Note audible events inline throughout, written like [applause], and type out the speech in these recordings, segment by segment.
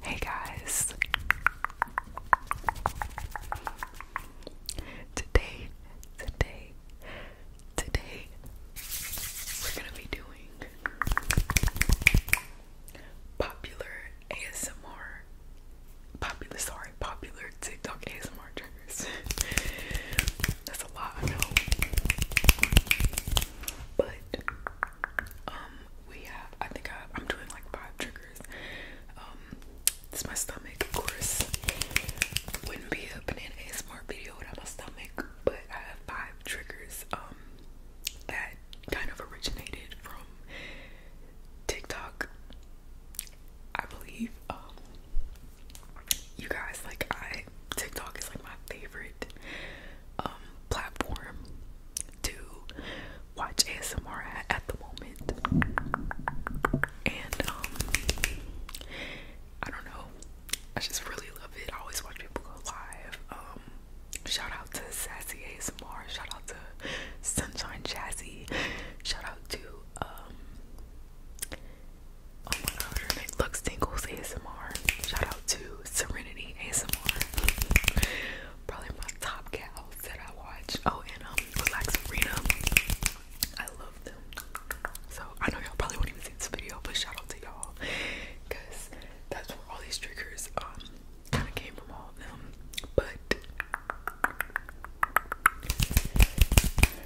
Hey guys. Today, today, today we're going to be doing popular ASMR popular sorry, popular TikTok ASMR that's a lot, I know. But um we have I think I am doing like five triggers. Um it's my stomach, of course. Wouldn't be a banana ASMR video without my stomach, but I have five triggers um that kind of originated from TikTok. I believe um, you guys like I TikTok is like my favorite um, platform to watch ASMR at, the moment. And um, I don't know. I just really love it. I always watch people go live. Um, shout out to Sassy ASMR, shout out to Sunshine Jazzy, shout out to Oh my god, her name ASMR. Shout out to Serenity ASMR. Probably my top gals that I watch. Oh, and um, Relax Arena. I love them. So I know y'all probably won't even see this video, but shout out to y'all. Cause that's where all these triggers um kinda came from all of them. But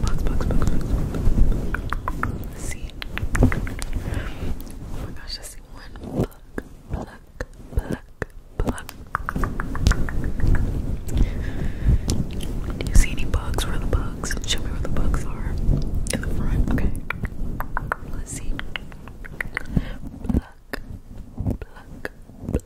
Box, box, box, box. see. Oh my gosh, I see one. Pluck, pluck, pluck, pluck. Do you see any bugs? Where are the bugs? Show me where the bugs are. In the front, okay. Let's see. Pluck, pluck,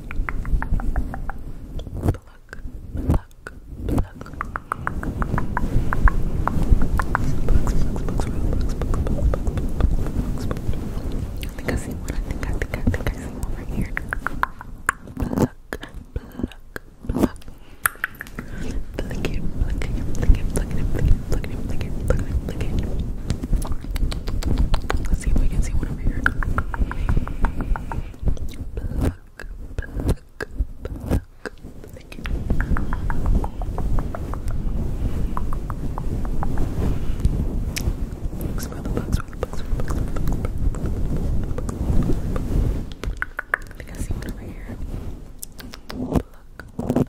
Pluck, pluck, pluck. I think I see one. I think I think I think I see one right here. Pluck, pluck, pluck. Pluck it, pluck it, pluck it, pluck it, pluck it, pluck it, pluck it, pluck it. Let's see if we can see one over here. Pluck, pluck, pluck. Thank you. I think I see one over here. Pluck, pluck,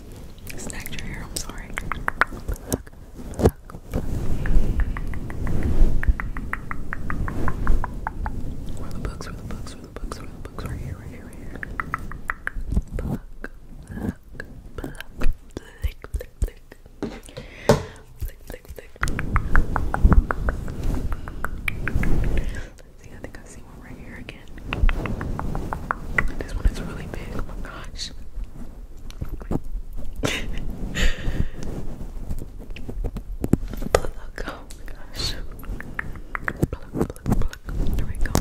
snagged your hair. I'm sorry. Where the books? Where the books? Where the books? Where the books? Right here. Right here. Right here. Pluck, pluck, pluck. Flick, flick, flick. Flick, flick, flick. Let's see. I think I see one right here again. This one is really big. Oh my gosh. Pluck, oh my gosh. Pluck, pluck, pluck. There we go.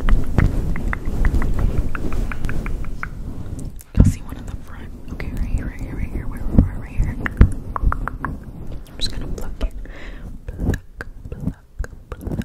You'll see one in the front. Okay, right here, right here, right here, right here, right, here. I'm just gonna pluck it. Pluck, pluck, pluck,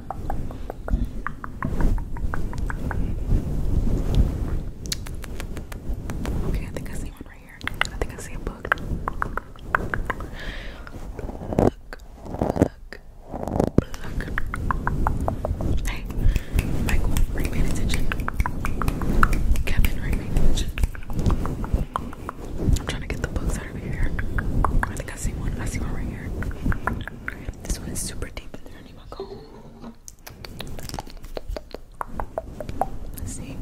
Okay, I think I see one right here. I think I see a book. Book, book, book. Hey, Michael, bring me attention. Kevin, bring me attention. I'm trying to get the books out of here. I think I see one. I see one right here. This one is super deep in there. Let's see.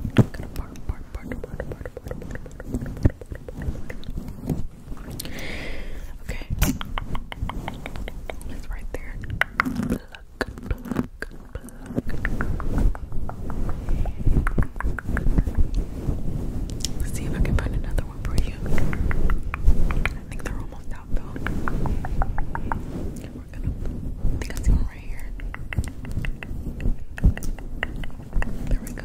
Okay. It's right there. see if I can find another one for you. I think they're all almost I one right here. There we go.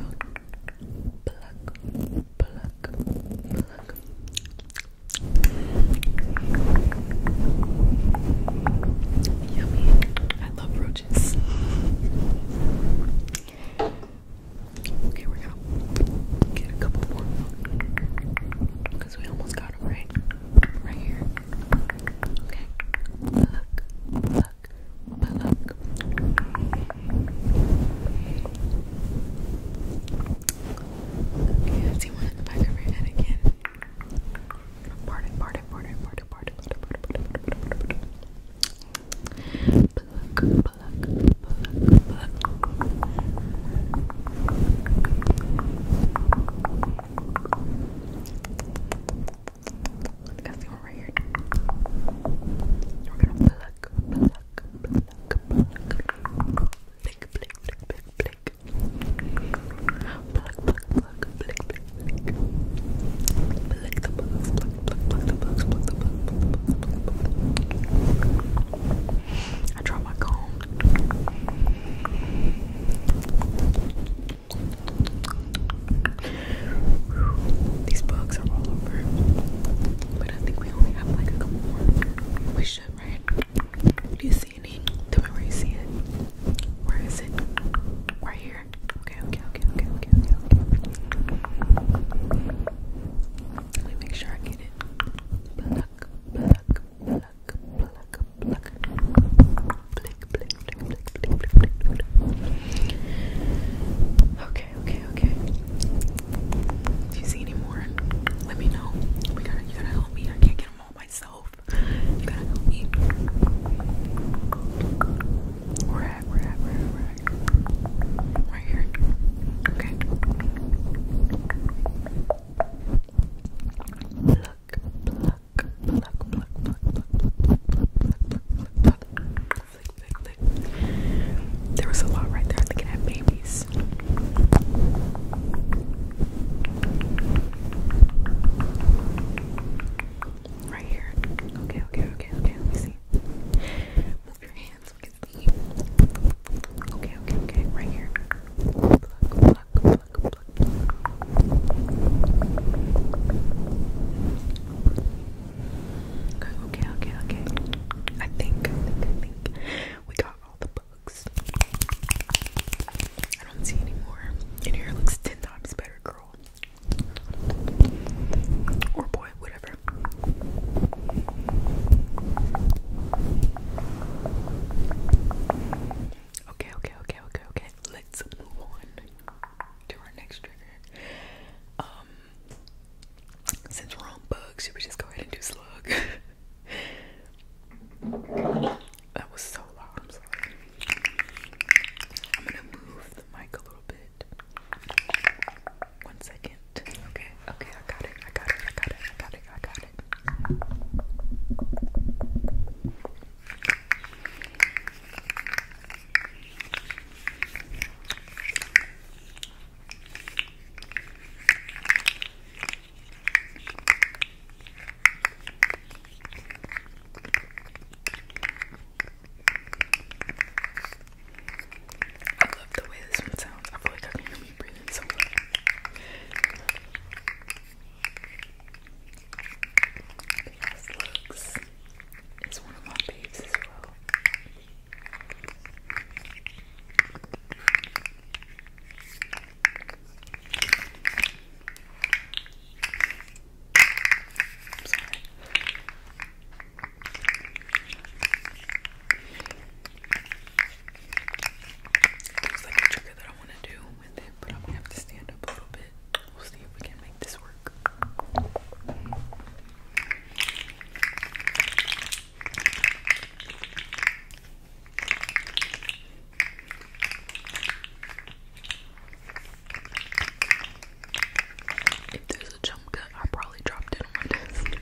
Yummy. I love roaches. Okay, we're going Get a couple more. Because we almost got them right. Right here. Okay. Pluck, pluck, pluck. Okay, see one in the back of your head again. Part it, part it, part it, part it, part it, part it, part it, part it, part it, part it, part it. Pluck, pluck. Bullock, Bullock, Bullock. Got the one right here. We're gonna pluck, pluck, pluck, pluck. Blick, blick, blick, blick, blick. Pluck, pluck, pluck, blick, blick, blick. Blick the bugs, pluck, pluck, pluck the bugs, pluck the bugs, pluck, pluck, pluck, pluck, pluck, pluck. I draw my comb. These bugs are all over. But I think we only have like a couple more. We should, right? Do you see any? Tell me where see it. Where is it? Right here. Okay, okay, okay, okay, okay, okay, Let me make sure I get it. Uh, pluck, pluck, pluck, pluck, pluck. Blink, blink, blink, blink, blink, blink, blink, blink. Okay, okay, okay. If you see any more, let me know. We gotta, you gotta help me. I can't get them all myself. You gotta help me. We're at, we're at, we're at, we're at right here. Okay. Pluck, pluck, pluck, pluck, pluck, pluck, pluck, pluck, pluck, pluck, Flick, flick, flick. There was a lot right there. I think it had babies. Right here. Okay, okay, okay, okay. Let me see. Move your hand hands. Okay, okay, okay. Right here. Okay, okay, okay, I think, we got all the bugs. I don't see any Your hair looks ten times better, girl. Or boy, whatever. Okay, okay, okay, okay, okay. Let's move on to our next trigger. Um since we're on bugs, should we just go ahead and do slug? [laughs] that was so loud, I'm sorry. I'm gonna move the mic a little bit. One second. Okay, okay, I got it, I got it, I got it, I got it, I got it. I love the way this one sounds. I feel like I can breathe in some air. Yes, looks is one of my faves as well. I'm sorry. There's like a trigger that I want to do with it, but I'm gonna have to stand up a little bit. We'll see if we can make this work. If there's a jump I probably dropped it on my desk.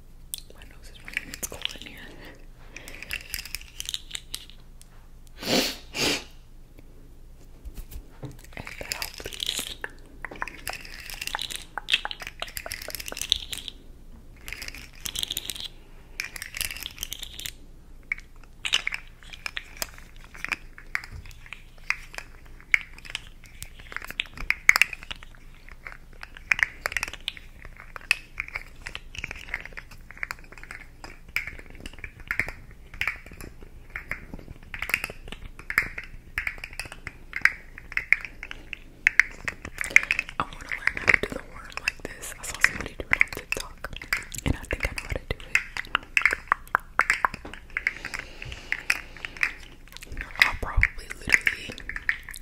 My nose is running. It's cold in here. If that helps, please. I want to learn how to do the worm like this. I saw somebody do it on TikTok, and I think I know how to do it. I'll probably literally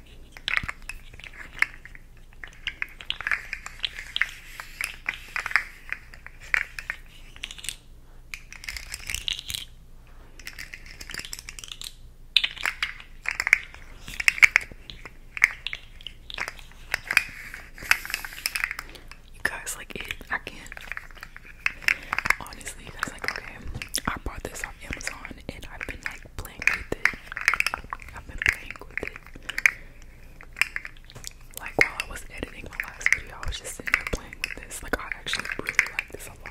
You guys like it? I can't. Honestly, you guys like okay. I bought this off Amazon and I've been like playing with it. I've been playing with it. Like while I was editing my last video, I was just sitting there playing with this. Like I actually really like this a lot.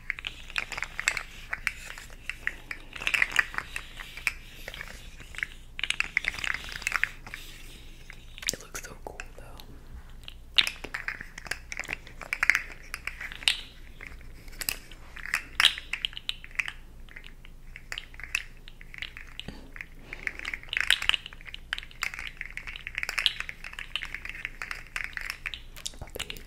It looks so cool though.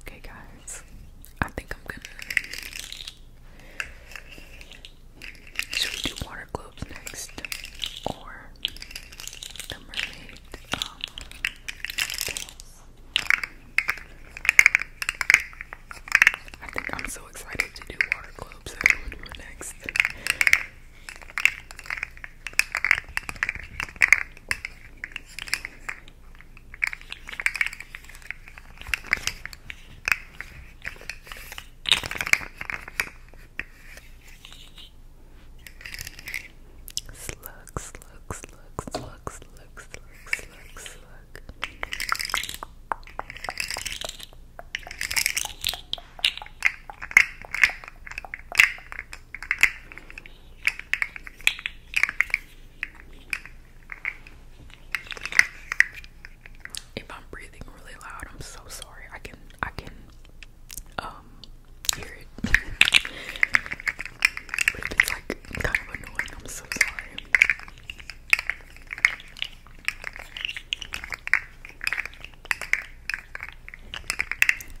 Okay, guys, I think I'm gonna. Should we do water globes next? Or the mermaid? Um, I think I'm so excited to do water globes. I don't do next. Slug, slug, slug, slug, slug, slug, slug, slug. If I'm breathing really loud, I'm so sorry. I can I can um hear it. [laughs] but if it's like kind of annoying, I'm so sorry. Okay,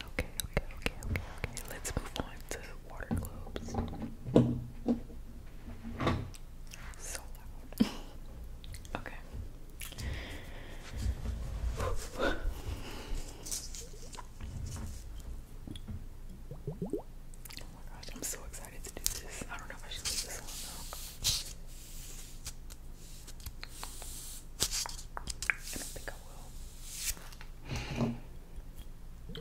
okay, okay, okay, Let's move on to water globes. So loud. [laughs] okay. Oh my gosh, I'm so excited to do this. I don't know if I should leave this I do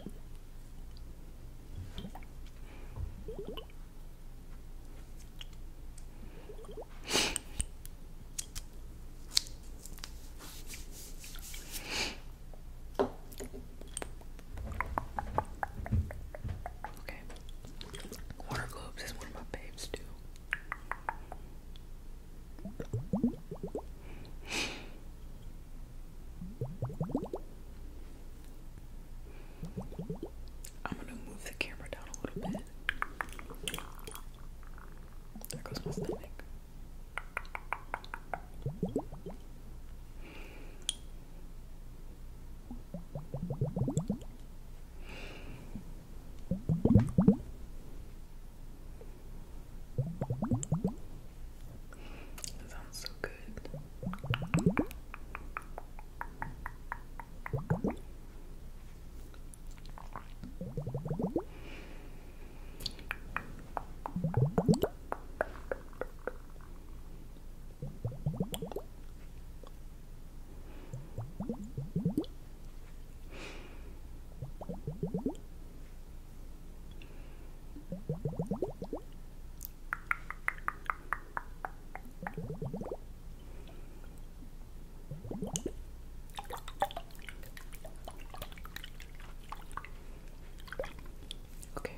Water globes is one of my babes too. I'm gonna move the camera down a little bit. There goes my stomach. It sounds so good. Okay, we can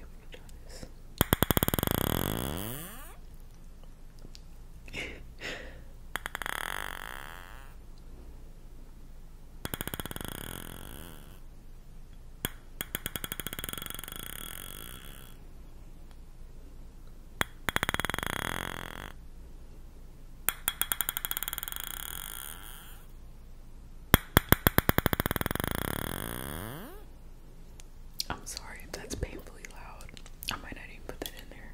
try this. I'm sorry that's painfully loud. I might not even put that in there.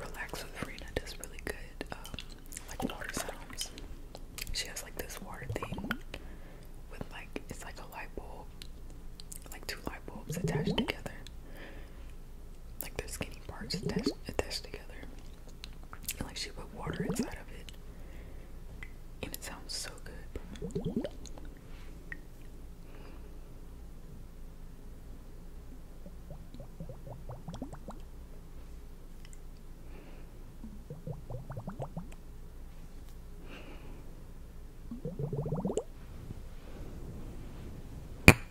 Relax with Rena does really good, um, like water sounds. She has like this water thing with like, it's like a light bulb, like two light bulbs attached together like the skinny parts attached, attached together. And, like she put water inside of it. And it sounds so good.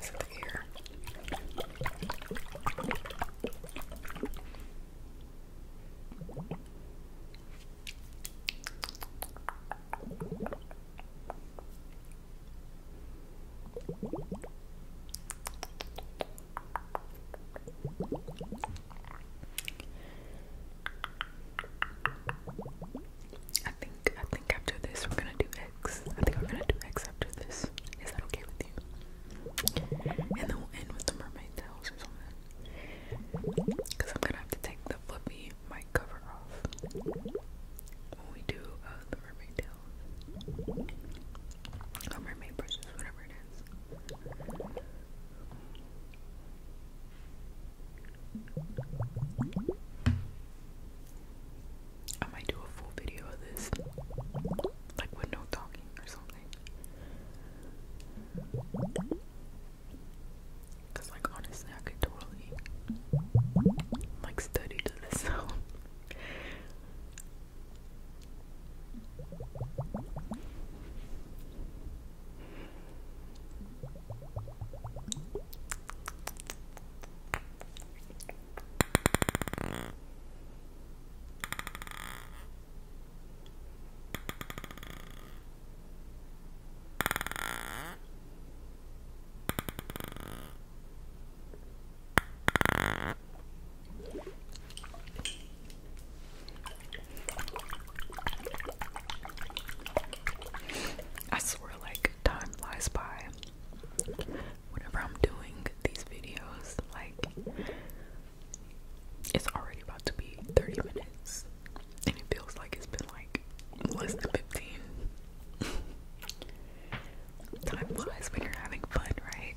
Something here. I think I think after this we're gonna do X. I think we're gonna do X after this. Is that okay with you? And then we'll end with the mermaid tails or something. Cause I'm gonna have to take the flippy mic cover off when we do uh, mermaid tails. Or mermaid brushes, whatever it is. I might do a full video of this, like with no talking or something. Cause like honestly, I could totally like study to this [laughs] I swear, like, time flies by whenever I'm doing these videos. Like it's already about to be 30 minutes, and it feels like it's been like less than 15. [laughs] time flies when you're having fun, right?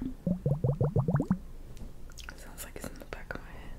It sounds like it's in the back of my head.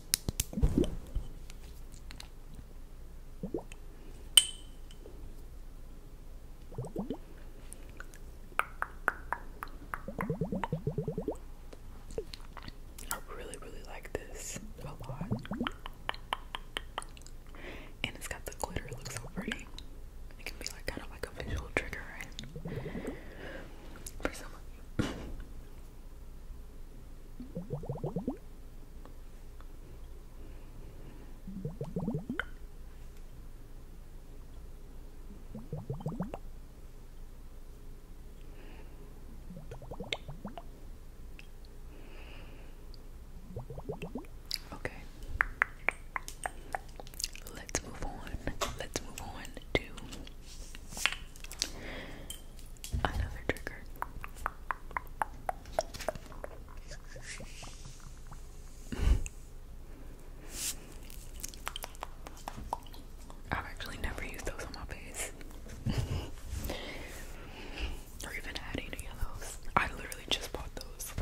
I really, really like this a lot. And it's got the glitter, it looks so pretty. It can be like kind of like a visual trigger, right? For someone Okay. Let's move on. Let's move on to Another trigger. [laughs] I've actually never used those on my face. [laughs] or even had any of those. I literally just bought those.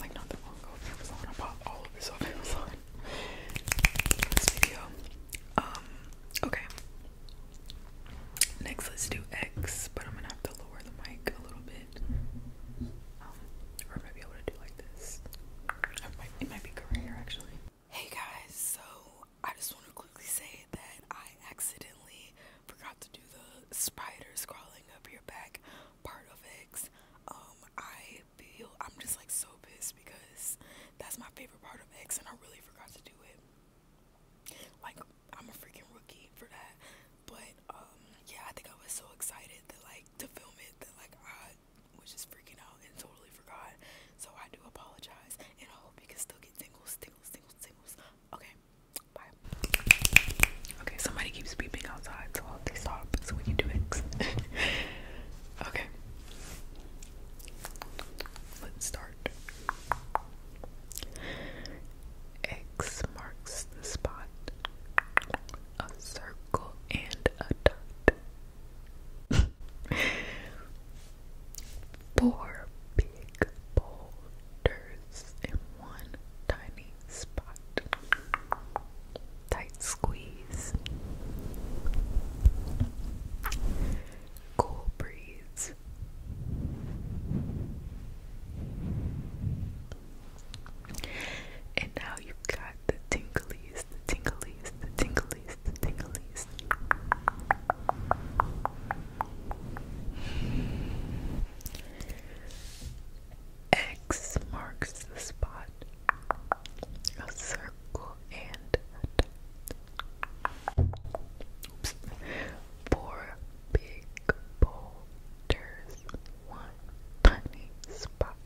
Like not that long ago from Amazon. I bought all of this off [laughs] this video. Um, okay. Next, let's do X, but I'm gonna have to lower the mic a little bit. Um, or I might be able to do like this. It might, it might be actually. Hey guys, so I just want to quickly say that I accidentally forgot to do the spider scrawling up your back part of X. Um, feel I'm just like so pissed because that's my favorite part of X, and I really forgot to do it. Like, I'm a freaking rookie for that. But, um, yeah, I think I was so excited that, like, to film it that, like, I was just freaking out and totally forgot. So, I do apologize, and I hope you can still get tingles, tingles, tingles, tingles. Okay, bye. Okay, somebody keeps beeping outside, so I'll stop so we can do X. [laughs] okay. Let's start. X marks the spot. A circle and a dot. [laughs] Four big boulders in one tiny spot. Tight squeeze cool breeze. And now you've got the tinglies, the tinglies, the tinglies, the tinglies. X marks the spot. A circle and a dot. Four big boulders, one tiny spot.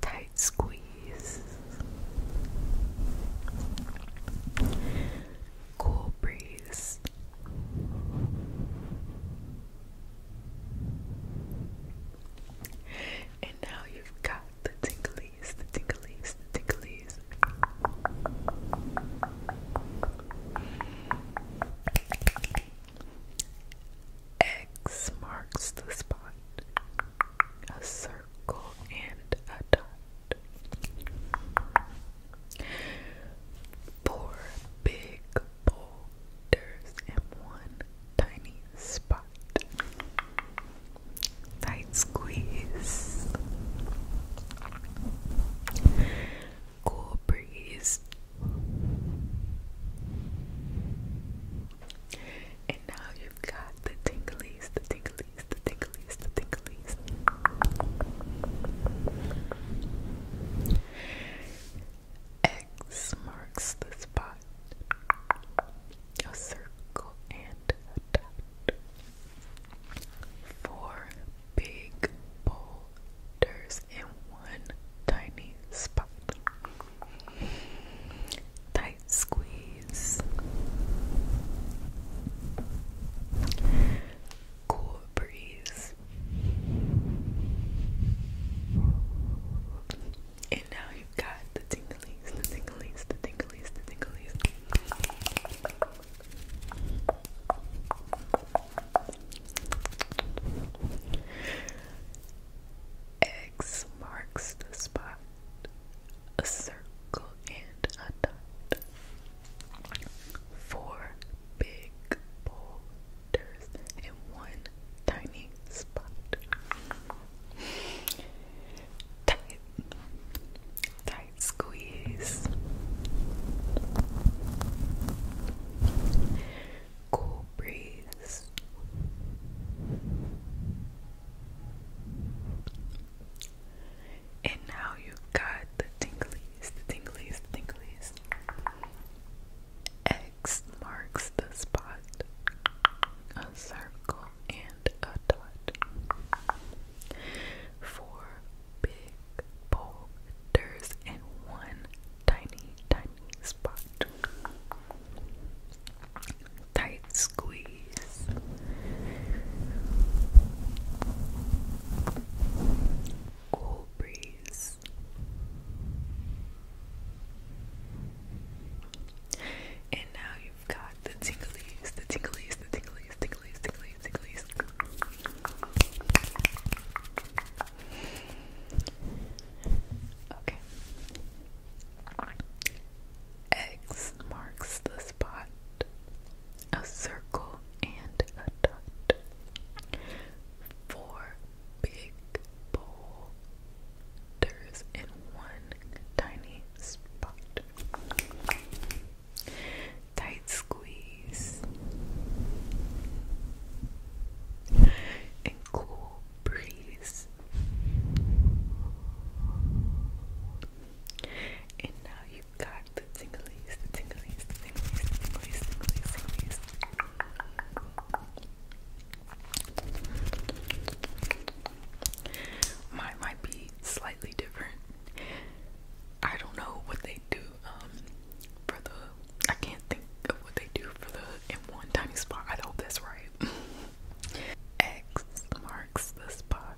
Tight squeeze. Cool breeze. And now you've got have the tinglies, the tinglies, the tinglies. X marks the spot. A circle and a dot. Four big boulders and one tiny spot. Tight squeeze. Cool breeze. And now you've got the tinglies, the tinglies, the tinglies, the tinglies. X marks the spot a circle and a dot. Four big boulders in one tiny spot. Tight squeeze. Cool breeze. And now you've got the tinglings, the tinglings, the tinglings, the tinglings. X marks the spot, a circle and a dot. Four big boulders and one tiny spot tight, tight squeeze. Cool breeze. And now you've got the tinglies, the tinglies, the tinglies. X marks the spot a circle, and a dot. Four big boulders and one tiny, tiny spot. Tight squeeze. Cool breeze. And now you we've got the tinglies, the tinglies, the tinglies, tinglies, tinglies, tinglies. Okay. X marks the spot. A circle and a dot. Four big boulders in one tiny spot. Tight squeeze and cool breeze. And now you got the tinglies, the tinglies, the tinglies, the tinglies, tinglies, tinglies. Mine might be slightly different. I don't know what they do um, for the I can't think of what they do for the in one tiny spot. I hope that's right. [laughs] X marks the spot.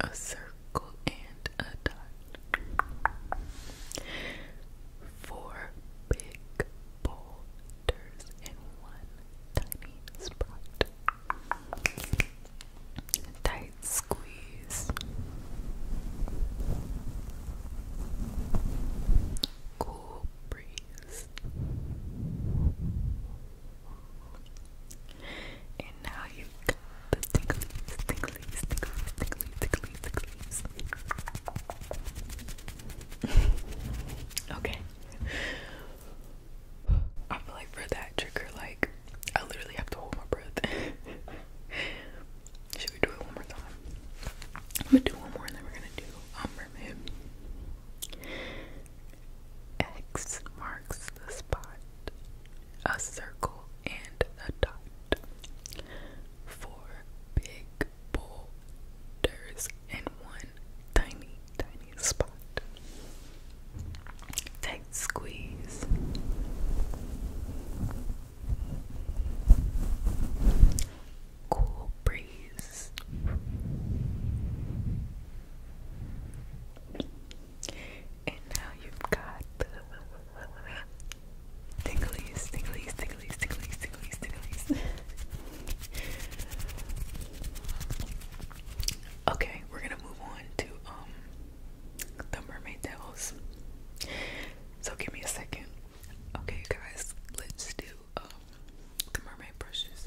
A circle and a dot. Four big bold in one tiny spot. Tight squeeze. Cool breeze. And now you've got the ticklies, ticklies, ticklies, ticklies, ticklies, ticklies. [laughs] Okay. I feel like for that trigger, like I literally have to hold my breath. [laughs] Should we do it one more time? I'm gonna do one more and then we're gonna do um X marks the spot, a circle and a dot. Four big boulders in one tiny, tiny spot. Tight squeeze. Cool breeze. And now you've got the tinglies, [laughs] tinglies, tinglies, tinglies, tinglies, tinglies. Okay, we're gonna move on to um the mermaid devils. So give me a second. Okay guys, let's do um the mermaid brushes.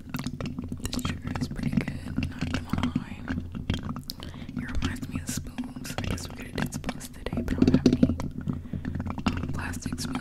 This sugar is pretty good, not going It reminds me of spoons. I guess we are gonna did spoons today, but I don't have any um, plastic spoons.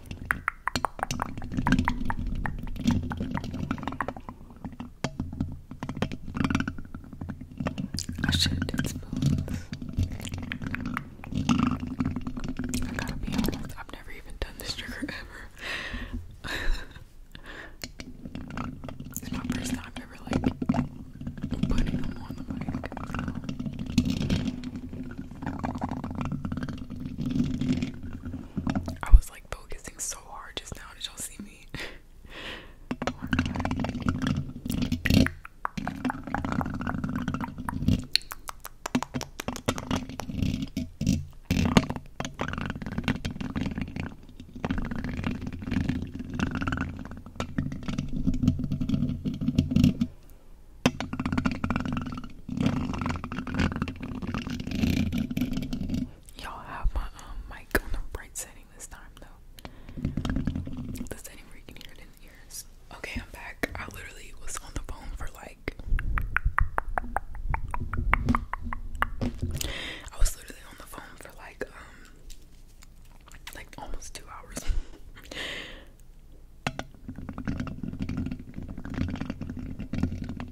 I should did spoons. I gotta be honest, I've never even done this trigger ever. [laughs] it's my first time ever like putting them on the mic. So. I was like focusing so hard just now. Did y'all see me? Y'all have my um, mic on the right setting this time though. The setting where you can hear it in the ears. Okay, I'm back. I literally was on the phone for like I was literally on the phone for like um like almost two hours. [laughs]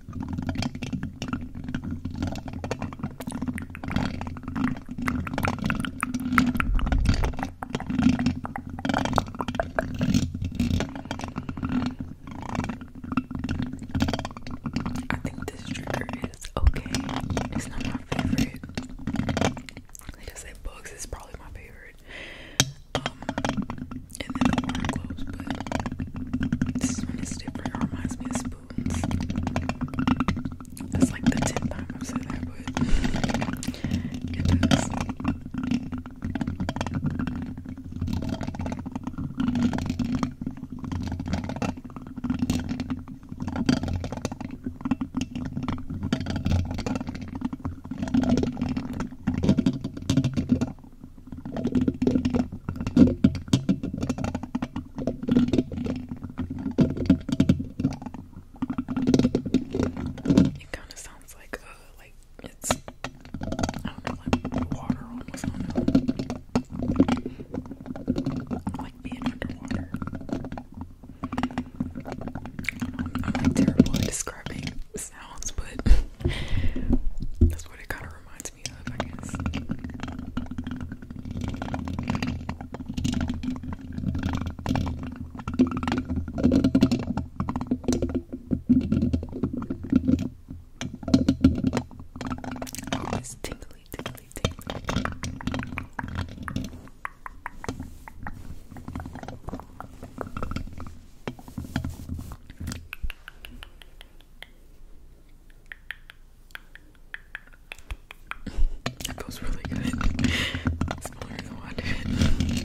I think this trigger is okay. It's not my favorite. Like I said, bugs is probably my favorite. Um, and then the water gloves, but this one is different. reminds me of that's like the ten time I've said that, but it kind of sounds like uh, like it's I like being underwater. I'm, terrible at describing sounds, but [laughs] that's what it kind of reminds to be up, I guess. Oh, it's tingly, tingly, tingly. That feels really good. smaller than I did.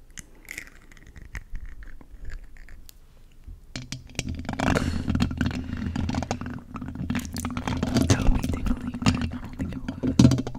That would be tingling, but I don't think it was.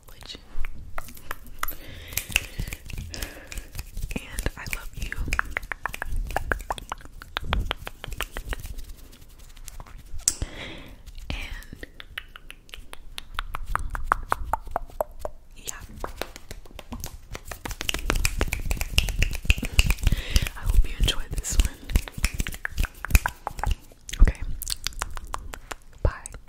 and I love you. And yeah. I hope you enjoyed this one. Okay. Bye.